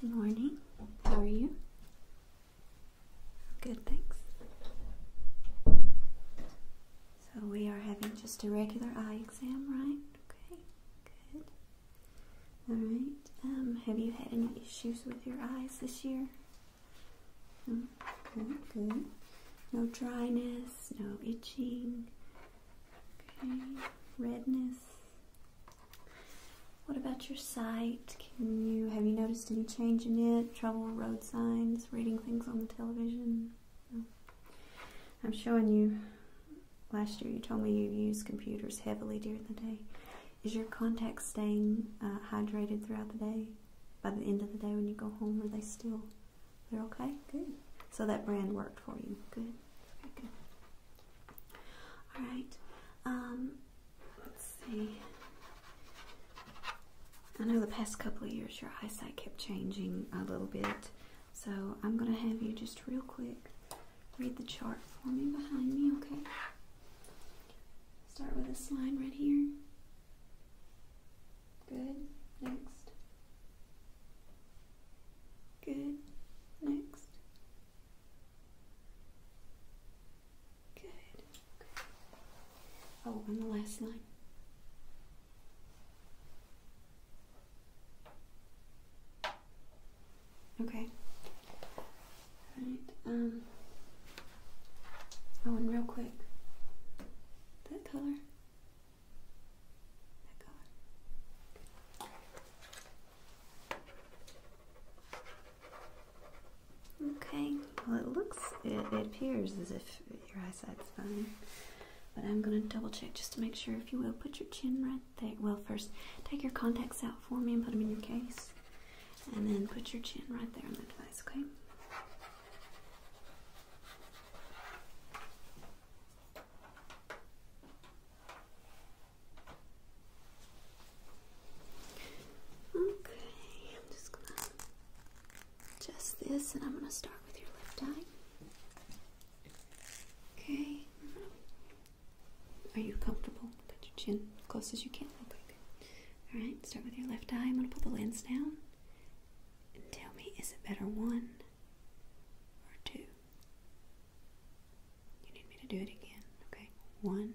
Good morning. How are you? Good, thanks. So we are having just a regular eye exam, right? Okay, good. All right. Um, have you had any issues with your eyes this year? No? Mm, good, No dryness, no itching, Okay, redness. What about your sight? Can you have you noticed any change in it? Trouble, with road signs, reading things on the television? I'm showing you. Last year you told me you used computers heavily during the day. Is your contact staying uh, hydrated throughout the day? By the end of the day when you go home, are they still? They're okay? Good. So that brand worked for you. Good. All right. Um, let's see. I know the past couple of years your eyesight kept changing a little bit, so I'm going to have you just real quick read the chart for me behind me, okay? Start with a slide right here. Good. Next. Good. Next. Good. Oh, and the last line. Okay. Right. Um. Oh, and real quick, that color. Okay, well, it looks, it, appears as if your eyesight's fine. But I'm going to double check just to make sure, if you will. Put your chin right there. Well, first, take your contacts out for me and put them in your case. And then put your chin right there on the device, okay? Okay, I'm just gonna adjust this and I'm gonna start with your left eye. Okay. Are you comfortable? Put your chin close as you can. Alright, start with your left eye. I'm gonna pull the lens down and tell me is it better one or two? You need me to do it again, okay? One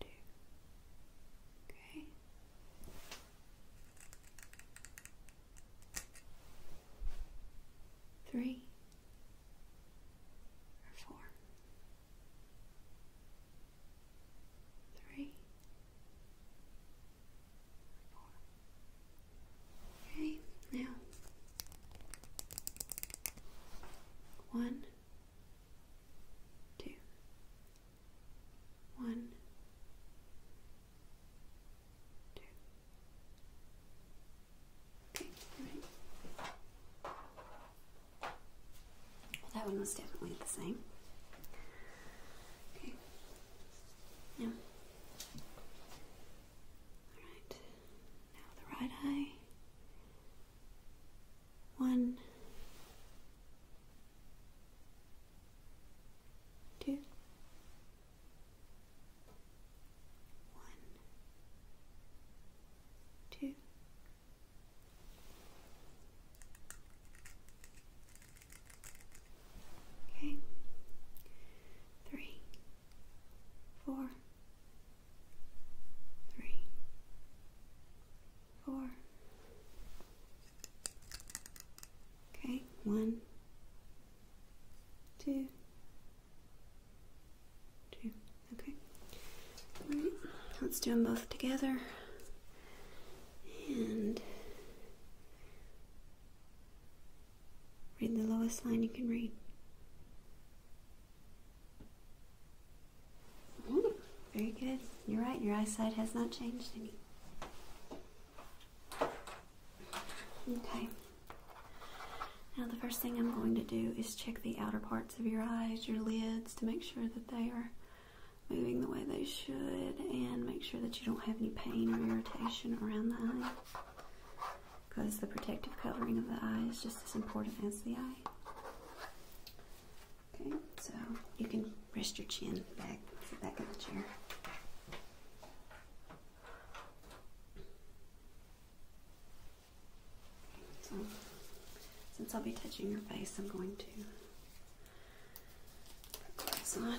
two. Okay. Three or four. Three Okay, now one, two, one, two. Okay, all right. that one was definitely the same. Okay. Now, Alright, now the right eye. One, two, one, two. Okay. Three, four, three, four. Okay, one, two, two. Okay. All right, let's do them both together. And Read the lowest line you can read. Mm, very good. You're right, your eyesight has not changed any. Okay. Now, the first thing I'm going to do is check the outer parts of your eyes, your lids, to make sure that they are moving the way they should and make sure that you don't have any pain or irritation around the eye because the protective covering of the eye is just as important as the eye. Okay, so you can rest your chin back, back in the chair. so since I'll be touching your face, I'm going to put gloves on.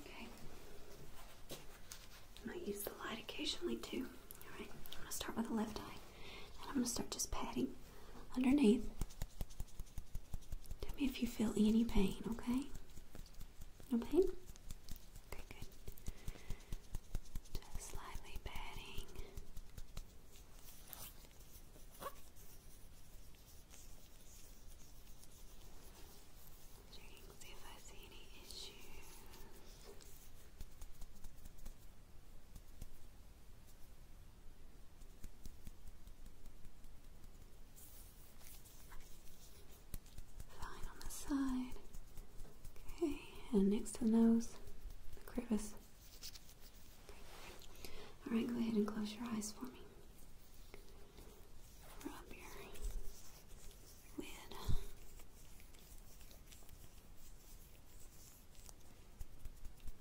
Okay. I'm use the light occasionally too. Alright, I'm going to start with the left eye. And I'm going to start just patting underneath. Tell me if you feel any pain, okay? No pain? Okay, good. Just slightly patting. Checking see if I see any issues. Fine on the side. Okay, and next to the nose, the crevice. Alright, go ahead and close your eyes for me. Rub your Weird.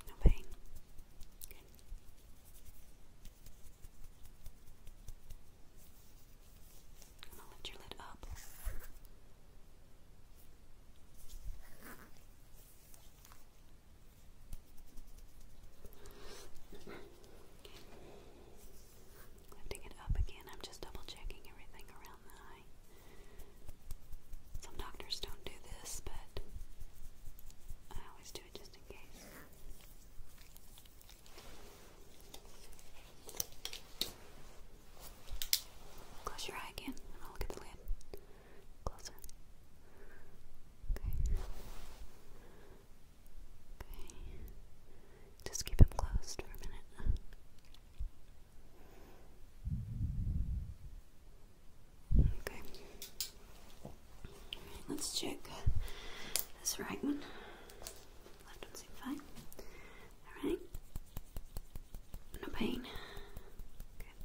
No pain. I'm gonna lift your lid up. Lifting it up again, I'm just double checking everything around the eye. Some doctors don't do this, but I always do it just in case. Close your eye again, and I'll look the lid. Closer. Okay. Okay. Just keep them closed for a minute. Okay. Let's check this right one. Left one seems fine. Alright. No pain. Good.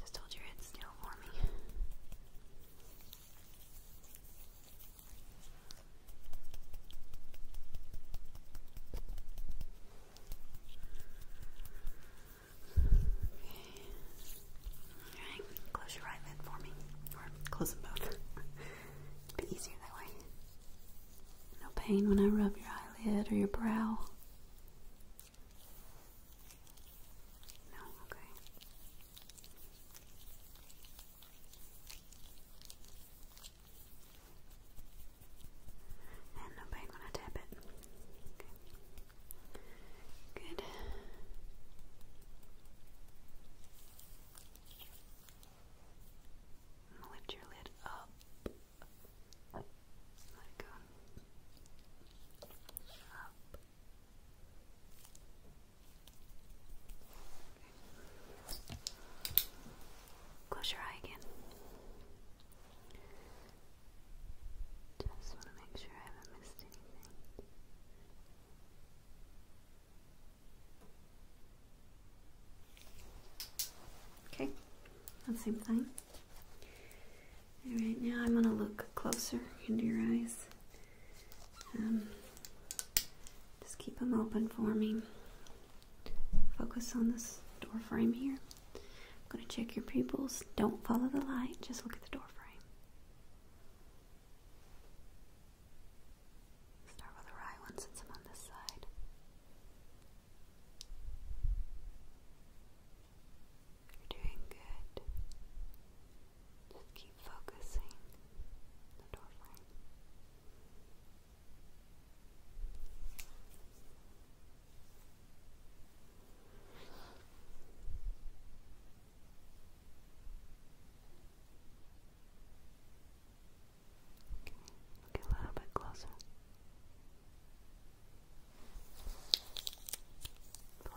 Just hold your head still for me close your right for me. Or close them both. It'd be easier that way. No pain when I rub your eyelid or your brow. No, okay. And nobody gonna tap it. Good. lift your lid up. Let go. Up. Close your eye again. Just want to make sure I haven't missed anything. Okay, same thing. Alright, now I'm going to look closer into your eyes. Um, just keep them open for me. Focus on this door frame here. I'm going to check your pupils. Don't follow the light, just look at the door frame. Start with the right one since I'm on this side. You're doing good. Just keep focusing the door Okay, a little bit closer. Pull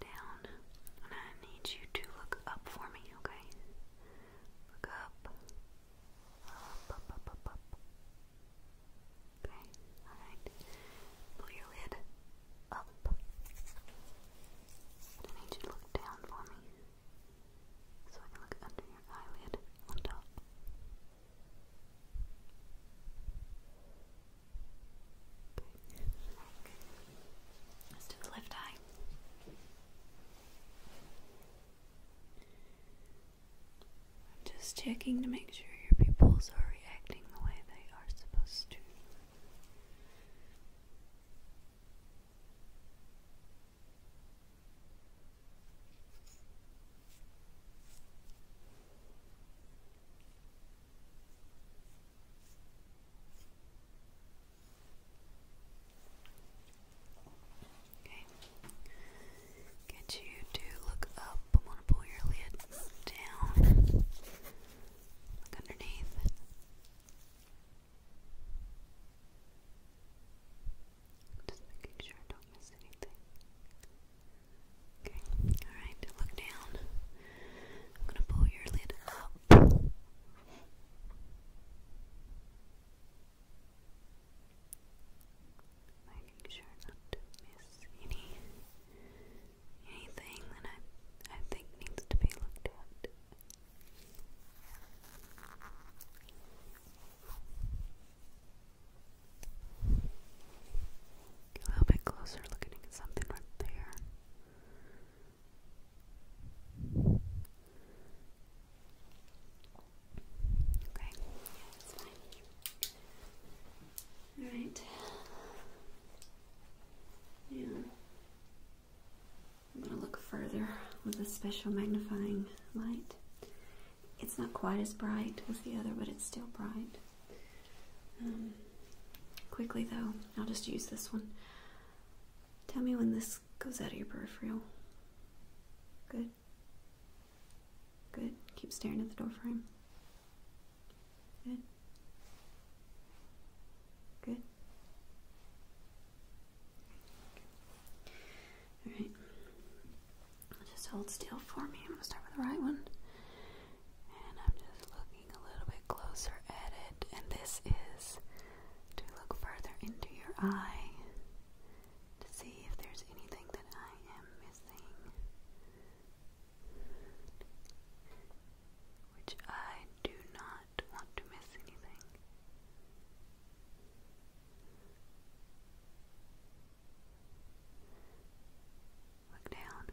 down, and I need you to look up for me, okay? Look up, up, up, up, up, Okay, all right. Pull your lid up. I need you to look down for me, so I can look under your eyelid on Let's do the left eye. I'm just checking to make sure your pupils are reacting the way they are supposed to. Okay. Get you to look up. I'm gonna pull your lid down. Look underneath. Just making sure I don't miss anything. Okay, alright, look down. I'm gonna pull your lid up. Making sure not to miss any anything that I I think needs to be looked at. a little bit closer looking at something right there. Okay, yeah, fine. Alright. Yeah. I'm going to look further with a special magnifying light. It's not quite as bright as the other, but it's still bright. Um, quickly, though, I'll just use this one. Tell me when this goes out of your peripheral. Good. Good. Keep staring at the door frame. Good. Good. Alright. Just hold still for me. I'm going to start with the right one. And I'm just looking a little bit closer at it. And this is to look further into your eye to see if there's anything that I am missing. Which I do not want to miss anything. Look down.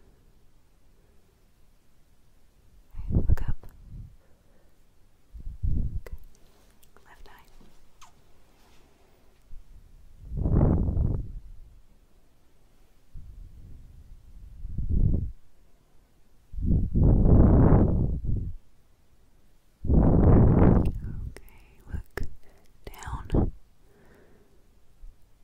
Right, look up. Left eye. Okay, look down.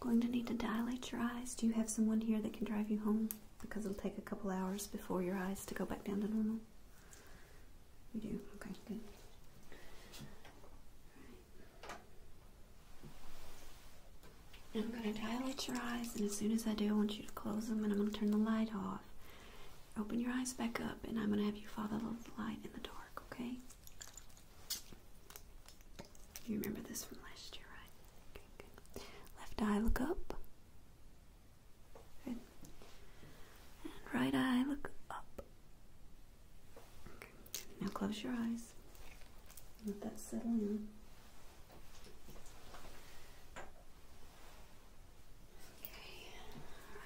Going to need to dilate your eyes. Do you have someone here that can drive you home? Because it'll take a couple hours before your eyes to go back down to normal. You do? Okay, good. I'm going to dilate your eyes, and as soon as I do, I want you to close them, and I'm going to turn the light off. Open your eyes back up, and I'm going to have you follow the light in the dark, okay? You remember this from last year, right? Left eye look up. And right eye look up. Now close your eyes. Let that settle in. Okay.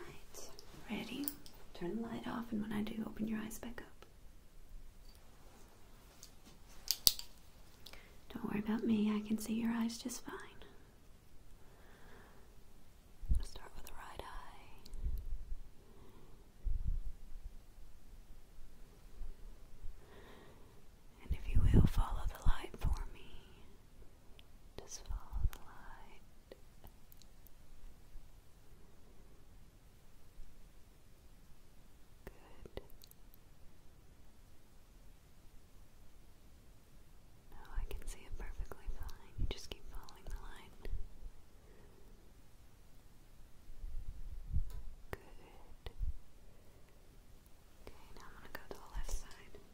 Alright. Ready? Turn the light off and when I do open your eyes back up. Don't worry about me, I can see your eyes just fine. start with the right eye. And if you will, follow the light for me. Just follow the light. Good. No, oh, I can see it perfectly fine. just keep following the line. Good. Okay, now I'm going to go to the left side. Right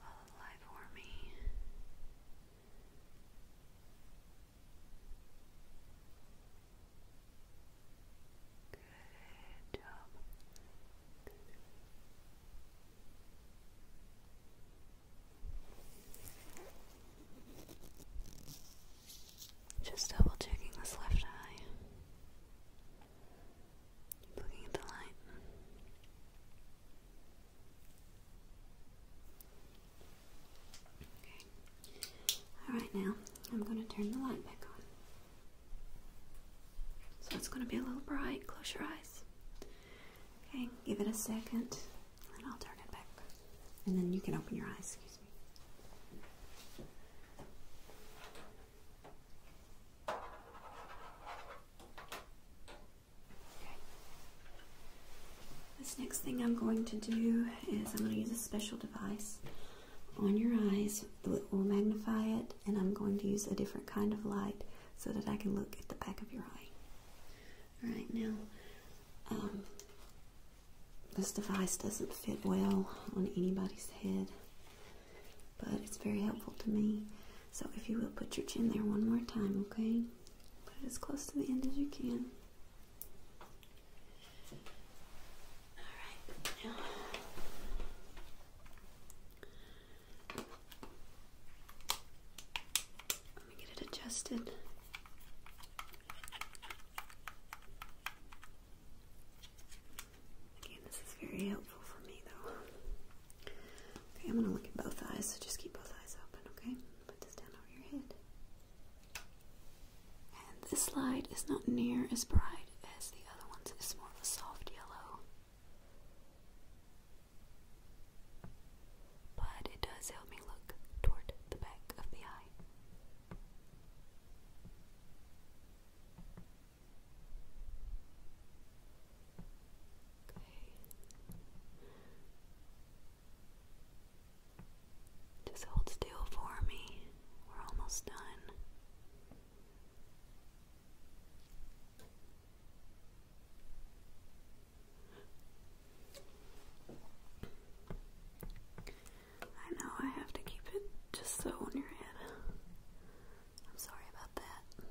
all alive for me. Good job. Just double checking this left eye. looking at the light. Okay. Alright, now I'm going to turn the light back on. So it's going to be a little bright. Close your eyes. Okay, give it a second and I'll turn it back. And then you can open your eyes. Excuse me. This next thing I'm going to do is I'm going to use a special device on your eyes that will magnify it, and I'm going to use a different kind of light so that I can look at the back of your eye. All right, now, um, this device doesn't fit well on anybody's head, but it's very helpful to me. So if you will put your chin there one more time, okay? Put it as close to the end as you can. Alright, let me get it adjusted. Again, this is very helpful for me though. I'm gonna look at both eyes, so just keep both eyes open, okay? Put this down over your head. And this light is not near as bright as the other ones, it's more of a soft yellow. But it does help me look toward the back of the eye. Just hold still for me. We're almost done. I know I have to keep it just so on your head. I'm sorry about that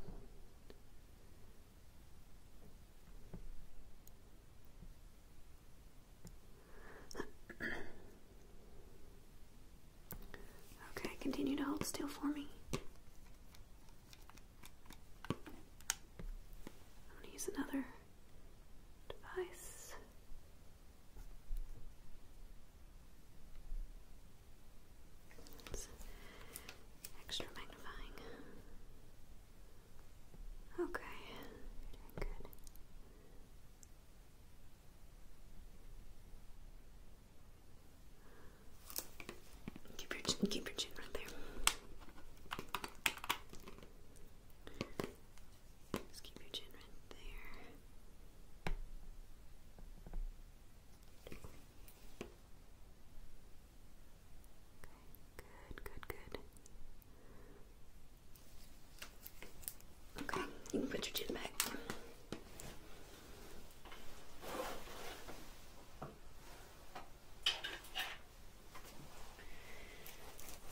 okay, continue to hold still for me. I'm going to use another device extra magnifying. Okay, Keep your chin, keep your chin right there. Just keep your chin right there good, good, good. Okay, you can put your chin back.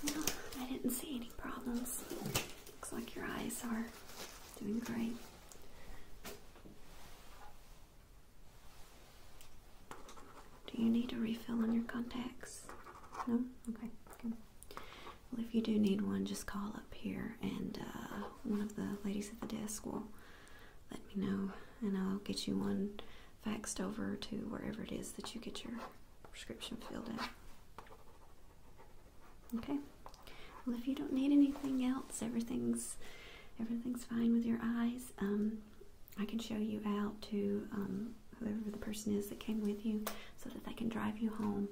No, I didn't see any problems. Looks like your eyes are doing great. Do you need a refill on your contacts? No? Okay, Well, if you do need one, just call up here and uh, one of the ladies at the desk will let me know and I'll get you one faxed over to wherever it is that you get your prescription filled out. Okay? Well, if you don't need anything else, everything's everything's fine with your eyes. Um, I can show you out to um, whoever the person is that came with you so that they can drive you home.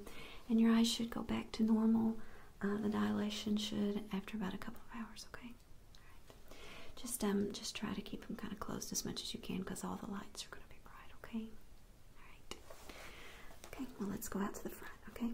And your eyes should go back to normal. Uh, the dilation should after about a couple of hours, okay? All right. Just, um, just try to keep them kind of closed as much as you can because all the lights are going to be bright, okay? All right. Okay, well, let's go out to the front, okay?